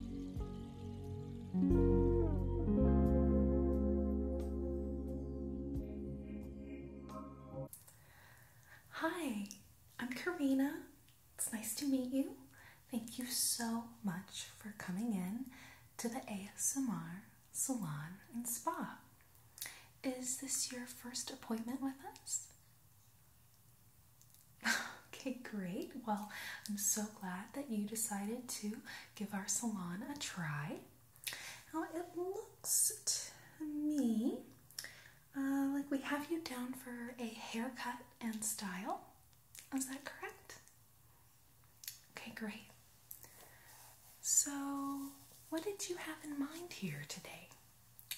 Hi, I'm Karina. It's nice to meet you. Thank you so much for coming in to the ASMR Salon and Spa. Is this your first appointment with us? okay, great. Well, I'm so glad that you decided to give our salon a try. Now, it looks to me uh, like we have you down for a haircut and style. Is that correct? Okay, great. So, what did you have in mind here today?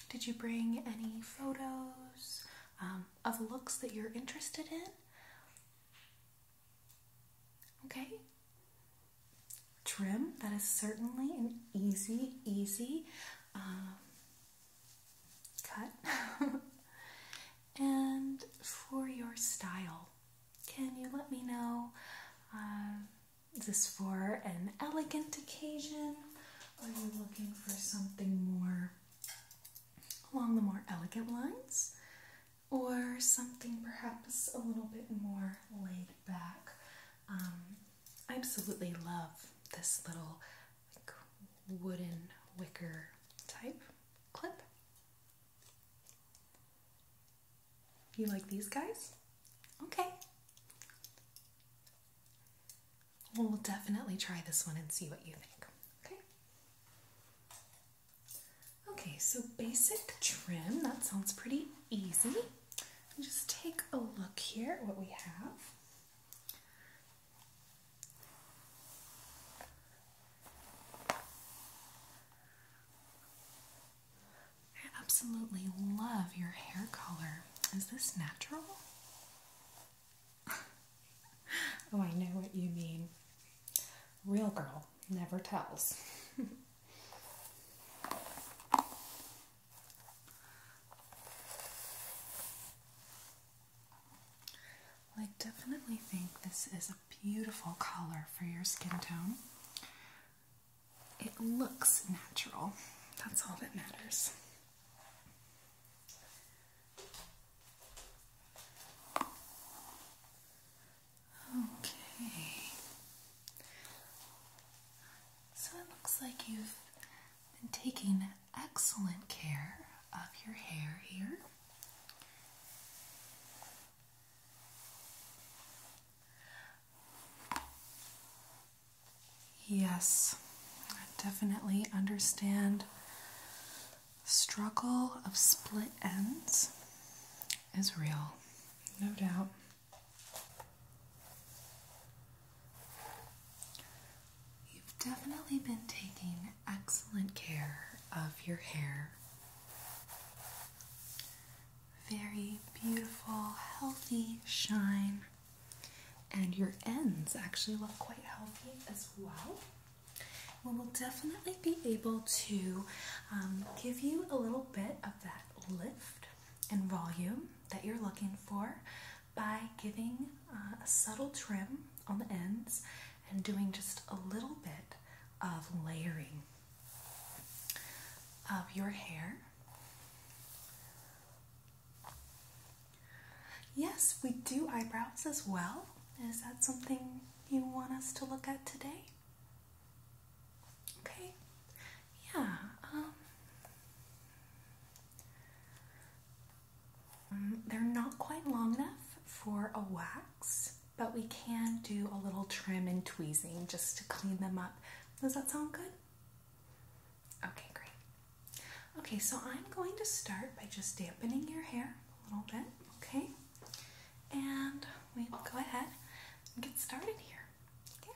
Did you bring any photos um, of looks that you're interested in? Okay? Trim, that is certainly an easy, easy um, cut. and for your style, can you let me know? Um, is this for an elegant occasion? Or are you looking for something more along the more elegant lines, or something perhaps a little bit more laid back. Um, I absolutely love this little wooden wicker type clip. You like these guys? Okay. We'll definitely try this one and see what you think. Okay? Okay, so basic trim, that sounds pretty easy. just take a look here at what we have. I absolutely love your hair color. Is this natural? oh, I know what you mean. Real girl never tells. I definitely think this is a beautiful color for your skin tone. It looks natural. That's all that matters. Okay. So it looks like you've been taking excellent care of your hair here. Yes, I definitely understand struggle of split ends is real, no doubt. You've definitely been taking excellent care of your hair. Very beautiful, healthy shine, and your ends actually look quite healthy as well. We will definitely be able to um, give you a little bit of that lift and volume that you're looking for by giving uh, a subtle trim on the ends and doing just a little bit of layering of your hair Yes, we do eyebrows as well. Is that something you want us to look at today? Okay. Yeah. Um, mm, they're not quite long enough for a wax, but we can do a little trim and tweezing just to clean them up. Does that sound good? Okay, great. Okay, so I'm going to start by just dampening your hair a little bit, okay? And we will go ahead and get started here, okay?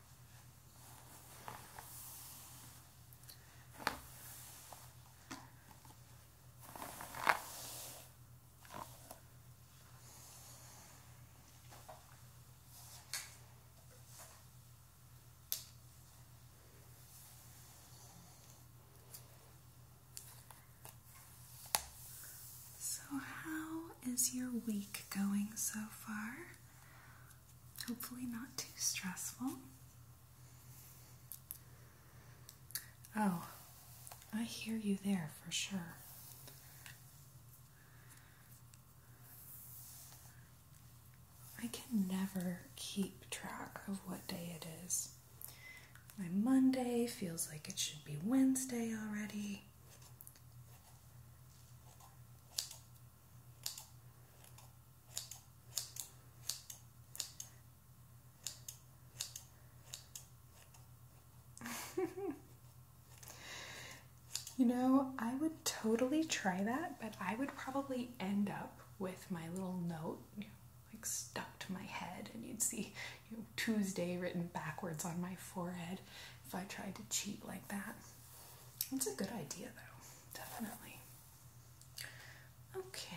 So, how is your week going so far? hopefully, not too stressful. Oh, I hear you there for sure. I can never keep track of what day it is. My Monday feels like it should be Wednesday already. you know, I would totally try that, but I would probably end up with my little note like stuck to my head, and you'd see Tuesday written backwards on my forehead if I tried to cheat like that. It's a good idea, though, definitely. Okay.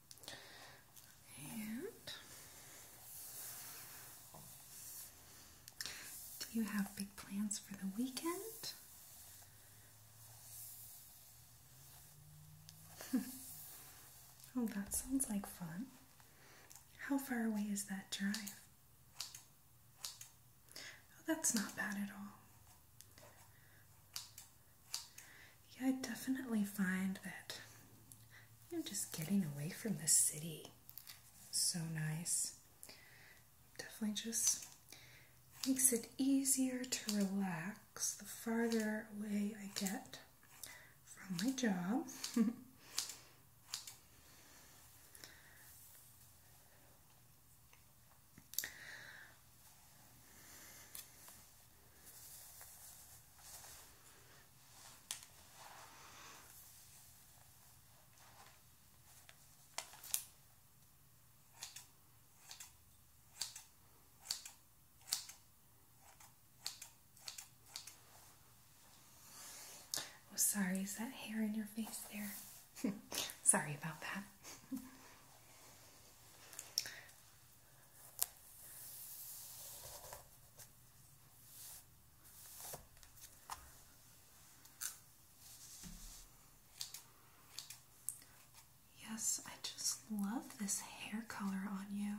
do you have big plans for the weekend? oh, that sounds like fun. How far away is that drive? Oh, that's not bad at all. Yeah, I definitely find that I'm just getting away from the city so nice. Definitely just makes it easier to relax the farther away I get from my job. Oh, sorry, is that hair in your face there? sorry about that. Yes, I just love this hair color on you.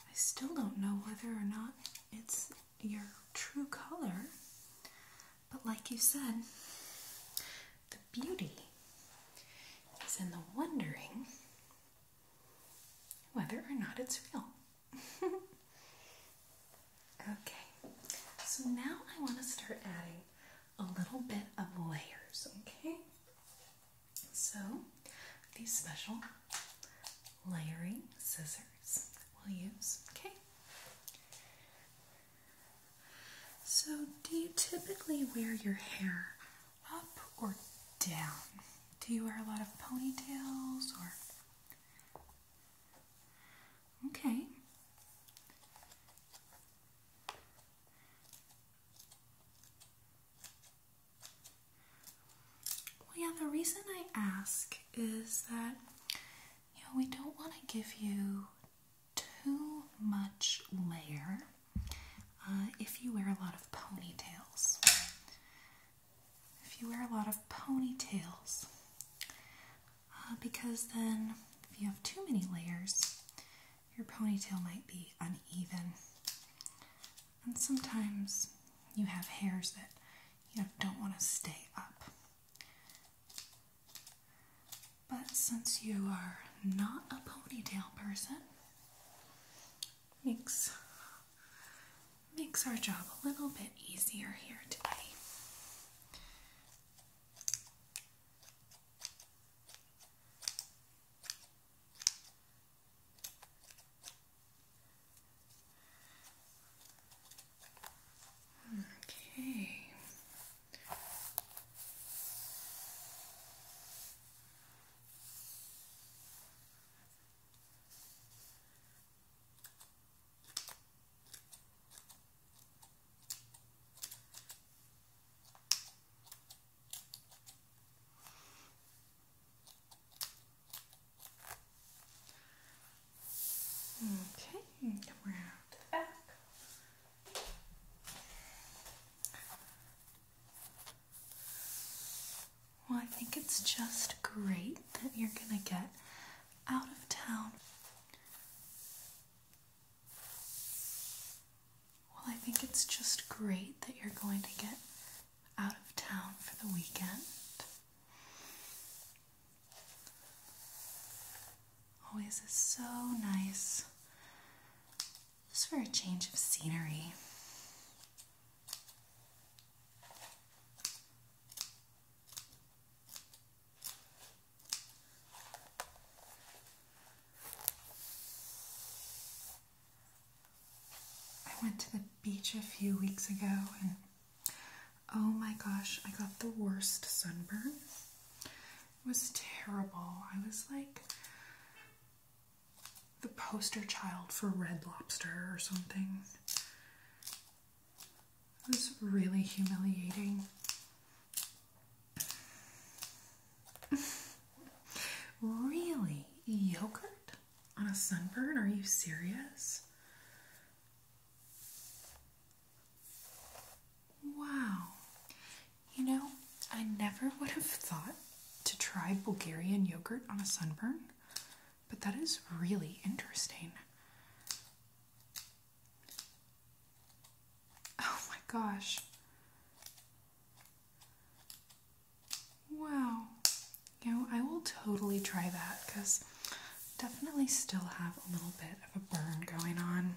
I still don't know whether or not it's your true color, but like you said, the beauty is in the wondering whether or not it's real. okay, so now I want to start adding a little bit of layers, okay? So, these special layering scissors we'll use, okay? So, do you typically wear your hair up or down? Do you wear a lot of ponytails or. Okay. Well, yeah, the reason I ask is that, you know, we don't want to give you too much layer uh, if you wear a lot of ponytails. If you wear a lot of ponytails, uh, because then if you have too many layers, your ponytail might be uneven. And sometimes you have hairs that you don't want to stay up. But since you are not a ponytail person, makes makes our job a little bit easier here today. Okay. Okay, come around the back. Well, I think it's just great that you're going to get out of town. Well, I think it's just great that you're going to get out of town for the weekend. Oh, this is so nice just for a change of scenery. I went to the beach a few weeks ago and oh my gosh, I got the worst sunburn was terrible. I was like the poster child for Red Lobster or something. It was really humiliating. really? Yogurt? On a sunburn? Are you serious? Wow. You know, I never would have thought to try Bulgarian yogurt on a sunburn, but that is really interesting. Oh my gosh. Wow. You know, I will totally try that because definitely still have a little bit of a burn going on.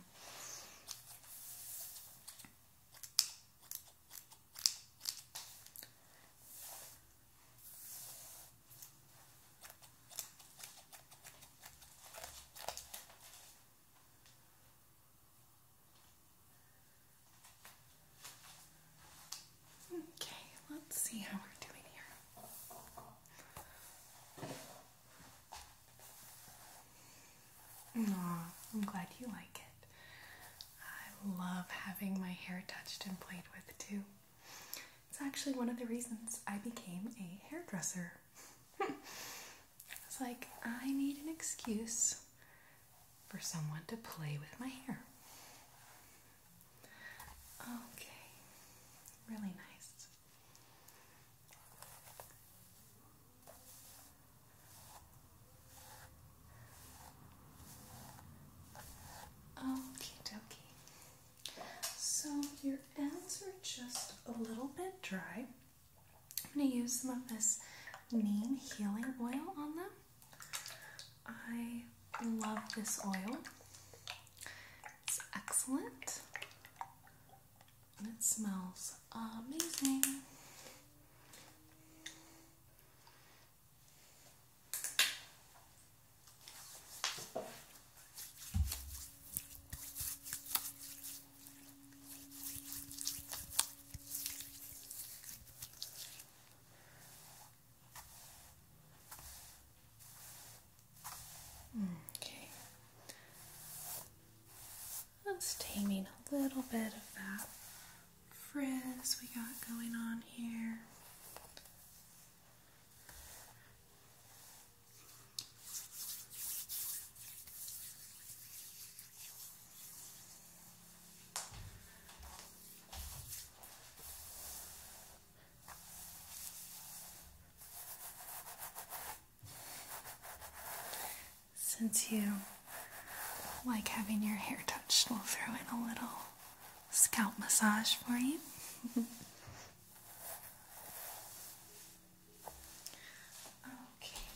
Okay, let's see how we're doing here. I'm glad you like it. I love having my hair touched and played with too. It's actually one of the reasons I became a hairdresser. it's like I need an excuse for someone to play with my hair. Okay, really nice. Okie dokie. So your ends are just a little bit dry. I'm going to use some of this neem healing oil on them. I love this oil. It's excellent and it smells amazing. Mm, okay. I'm taming a little bit of that frizz we got going on here. Since you like having your hair touched, we'll throw in a little scalp massage for you. okay.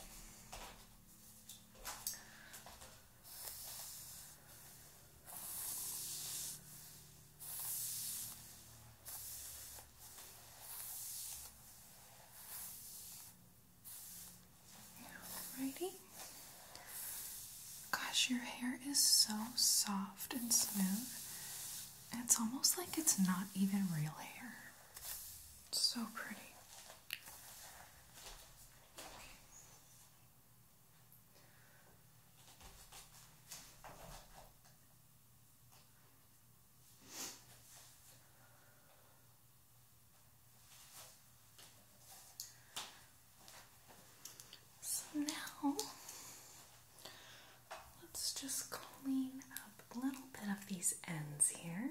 Alrighty. Gosh, your hair is so soft and smooth. It's almost like it's not even real hair. It's so pretty. So now let's just clean up a little bit of these ends here.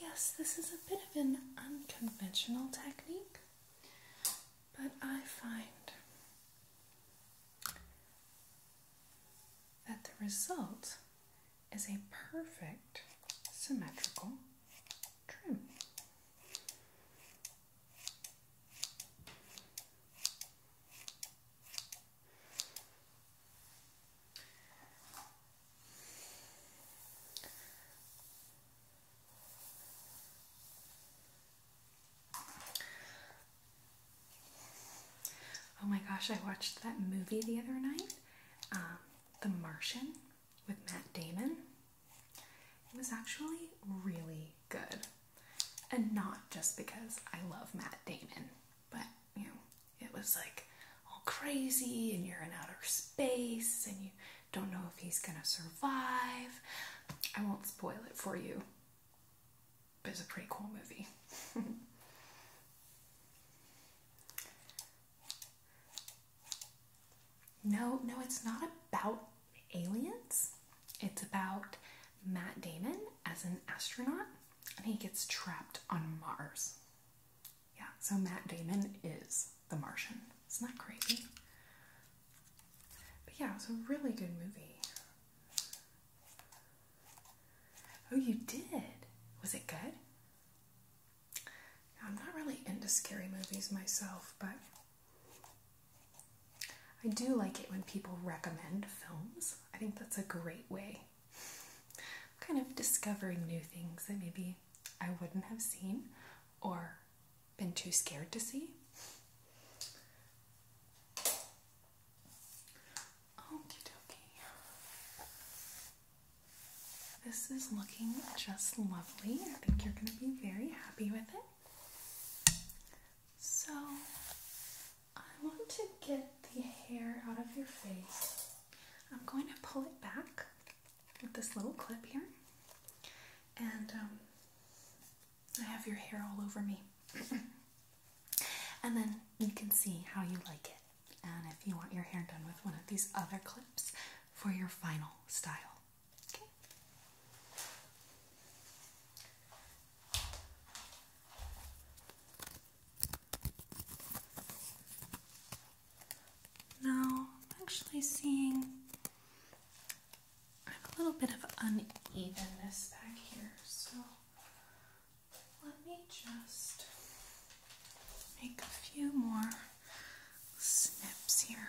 Yes, this is a bit of an unconventional technique, but I find that the result is a perfect symmetrical trim. Oh my gosh, I watched that movie the other night, um, The Martian with Matt Damon. It was actually really good. And not just because I love Matt Damon, but you know, it was like all crazy and you're in outer space and you don't know if he's gonna survive. I won't spoil it for you, but it's a pretty cool movie. No, no, it's not about aliens. It's about Matt Damon as an astronaut and he gets trapped on Mars. Yeah, so Matt Damon is the Martian. Isn't that crazy? But yeah, it was a really good movie. Oh, you did? Was it good? I'm not really into scary movies myself, but I do like it when people recommend films. I think that's a great way. kind of discovering new things that maybe I wouldn't have seen or been too scared to see. Okie dokie. This is looking just lovely. I think you're going to be very happy with it. So I want to get the hair out of your face. I'm going to pull it back with this little clip here, and um, I have your hair all over me. and then you can see how you like it, and if you want your hair done with one of these other clips for your final style. Okay. I'm actually seeing a little bit of unevenness back here, so let me just make a few more snips here.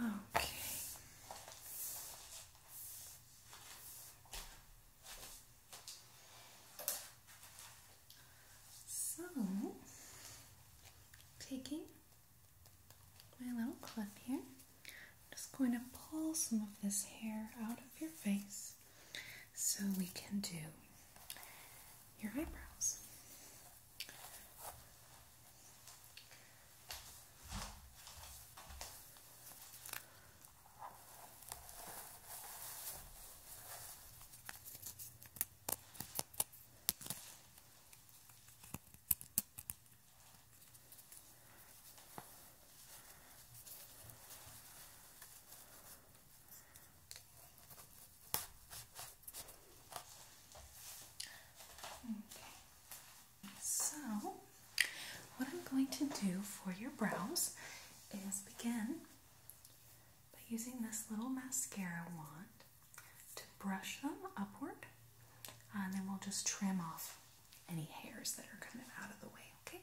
Okay. So, taking my little clip here, I'm just going to pull some of this hair out of your face. So we can do your eyebrows. So, what I'm going to do for your brows is begin by using this little mascara wand to brush them upward, uh, and then we'll just trim off any hairs that are kind of out of the way, okay?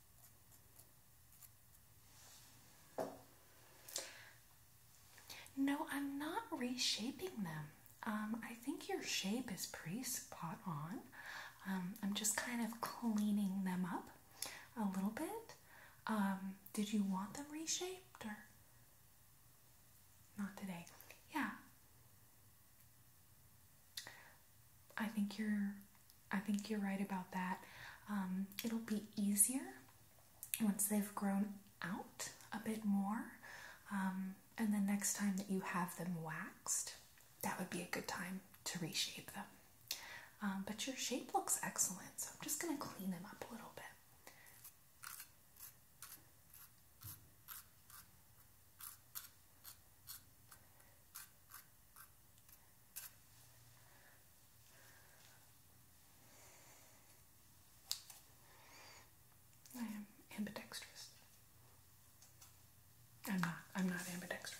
No, I'm not reshaping them. Um, I think your shape is pretty spot on. Um, I'm just kind of cleaning them up a little bit. Um, did you want them reshaped or not today? Yeah. I think you're I think you're right about that. Um, it'll be easier once they've grown out a bit more. Um, and the next time that you have them waxed, that would be a good time to reshape them. Um, but your shape looks excellent, so I'm just going to clean them up a little bit. I am ambidextrous. I'm not. I'm not ambidextrous.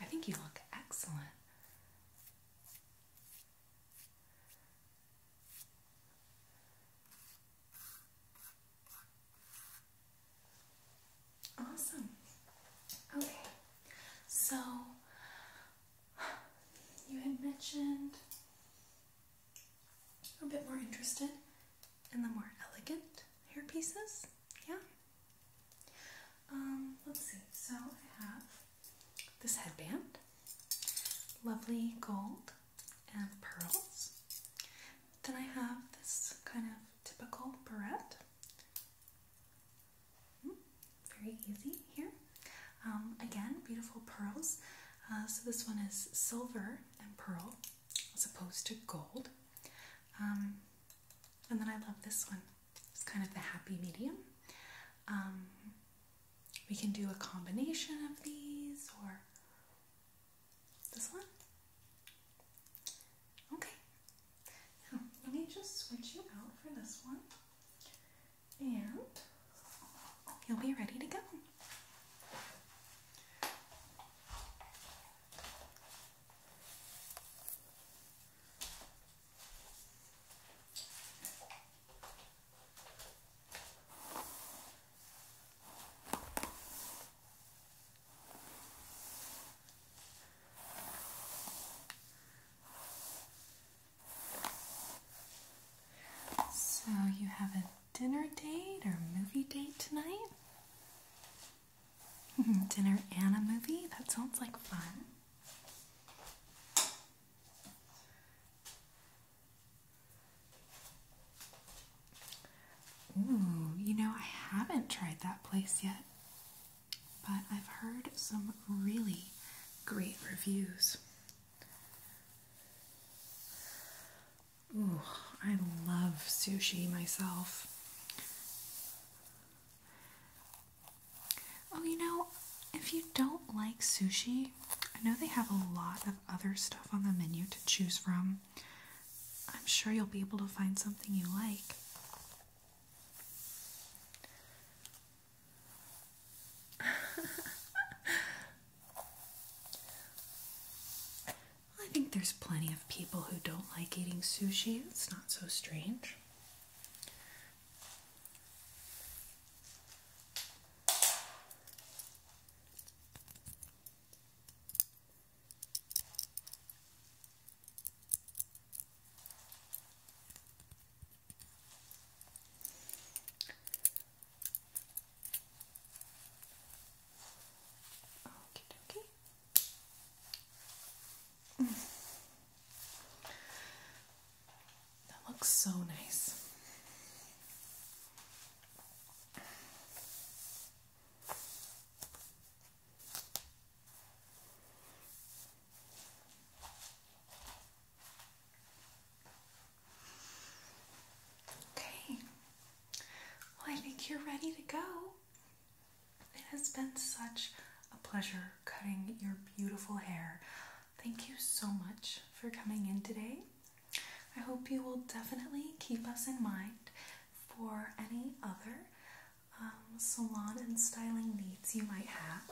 I think you look excellent. Awesome. Okay. So you had mentioned you're a bit more interested and the more elegant hair pieces. Yeah. Um, let's see. So I have this headband, lovely gold and pearls. Then I have this kind of typical beret. Hmm, very easy here. Um, again, beautiful pearls. Uh, so this one is silver and pearl as opposed to gold. Um, and then I love this one. It's kind of the happy medium. Um, we can do a combination of these or this one. Okay, now let me just switch you out for this one and you'll be ready to go. So, you have a dinner date or movie date tonight? Mm-hmm. Dinner and a movie? That sounds like fun. Ooh, you know, I haven't tried that place yet, but I've heard some really great reviews. Ooh, I love sushi myself. Oh, you know, if you don't like sushi, I know they have a lot of other stuff on the menu to choose from. I'm sure you'll be able to find something you like. I think there's plenty of people who don't like eating sushi. It's not so strange. Okay, okay. That looks so nice. Okay. Well, I think you're ready to go. It has been such a pleasure cutting your beautiful hair. Thank you so much for coming in today. I hope you will definitely keep us in mind for any other um, salon and styling needs you might have.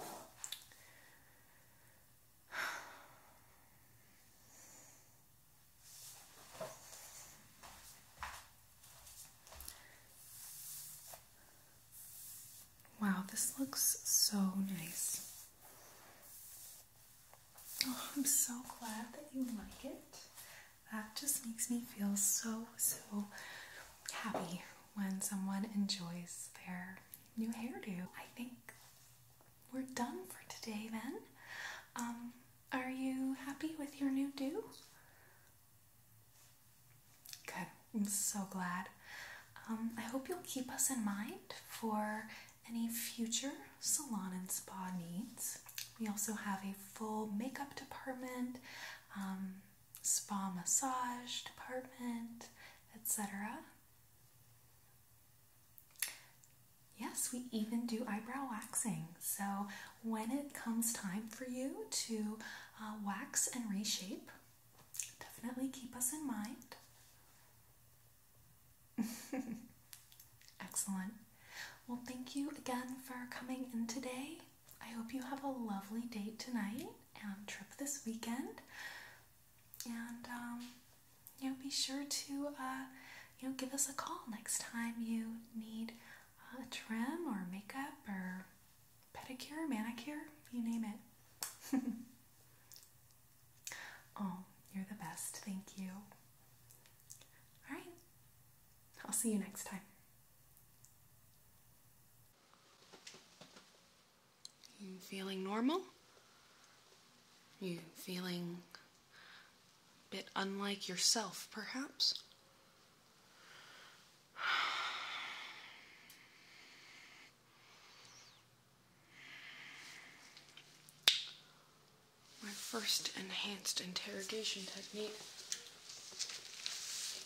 Wow, this looks so nice. Oh, I'm so glad that you like it. That just makes me feel so, so happy when someone enjoys their new hairdo. I think we're done for today then. Um, are you happy with your new do? Good. I'm so glad. Um, I hope you'll keep us in mind for any future salon and spa needs. We also have a full makeup department, um, spa massage department, etc. Yes, we even do eyebrow waxing. So, when it comes time for you to uh, wax and reshape, definitely keep us in mind. Excellent. Well, thank you again for coming in today. I hope you have a lovely date tonight and trip this weekend. And, um, you know, be sure to, uh, you know, give us a call next time you need a uh, trim or makeup or pedicure, manicure, you name it. oh, you're the best. Thank you. All right. I'll see you next time. You feeling normal? You feeling bit unlike yourself, perhaps? My first enhanced interrogation technique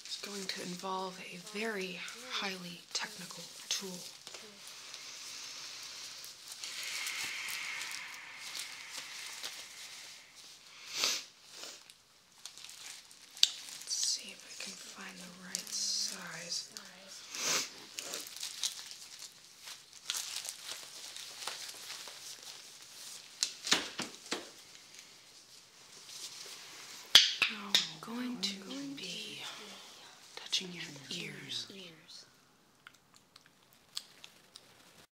is going to involve a very highly technical tool. Let's see if I can find the right size. Oh, I'm going to be touching your ears.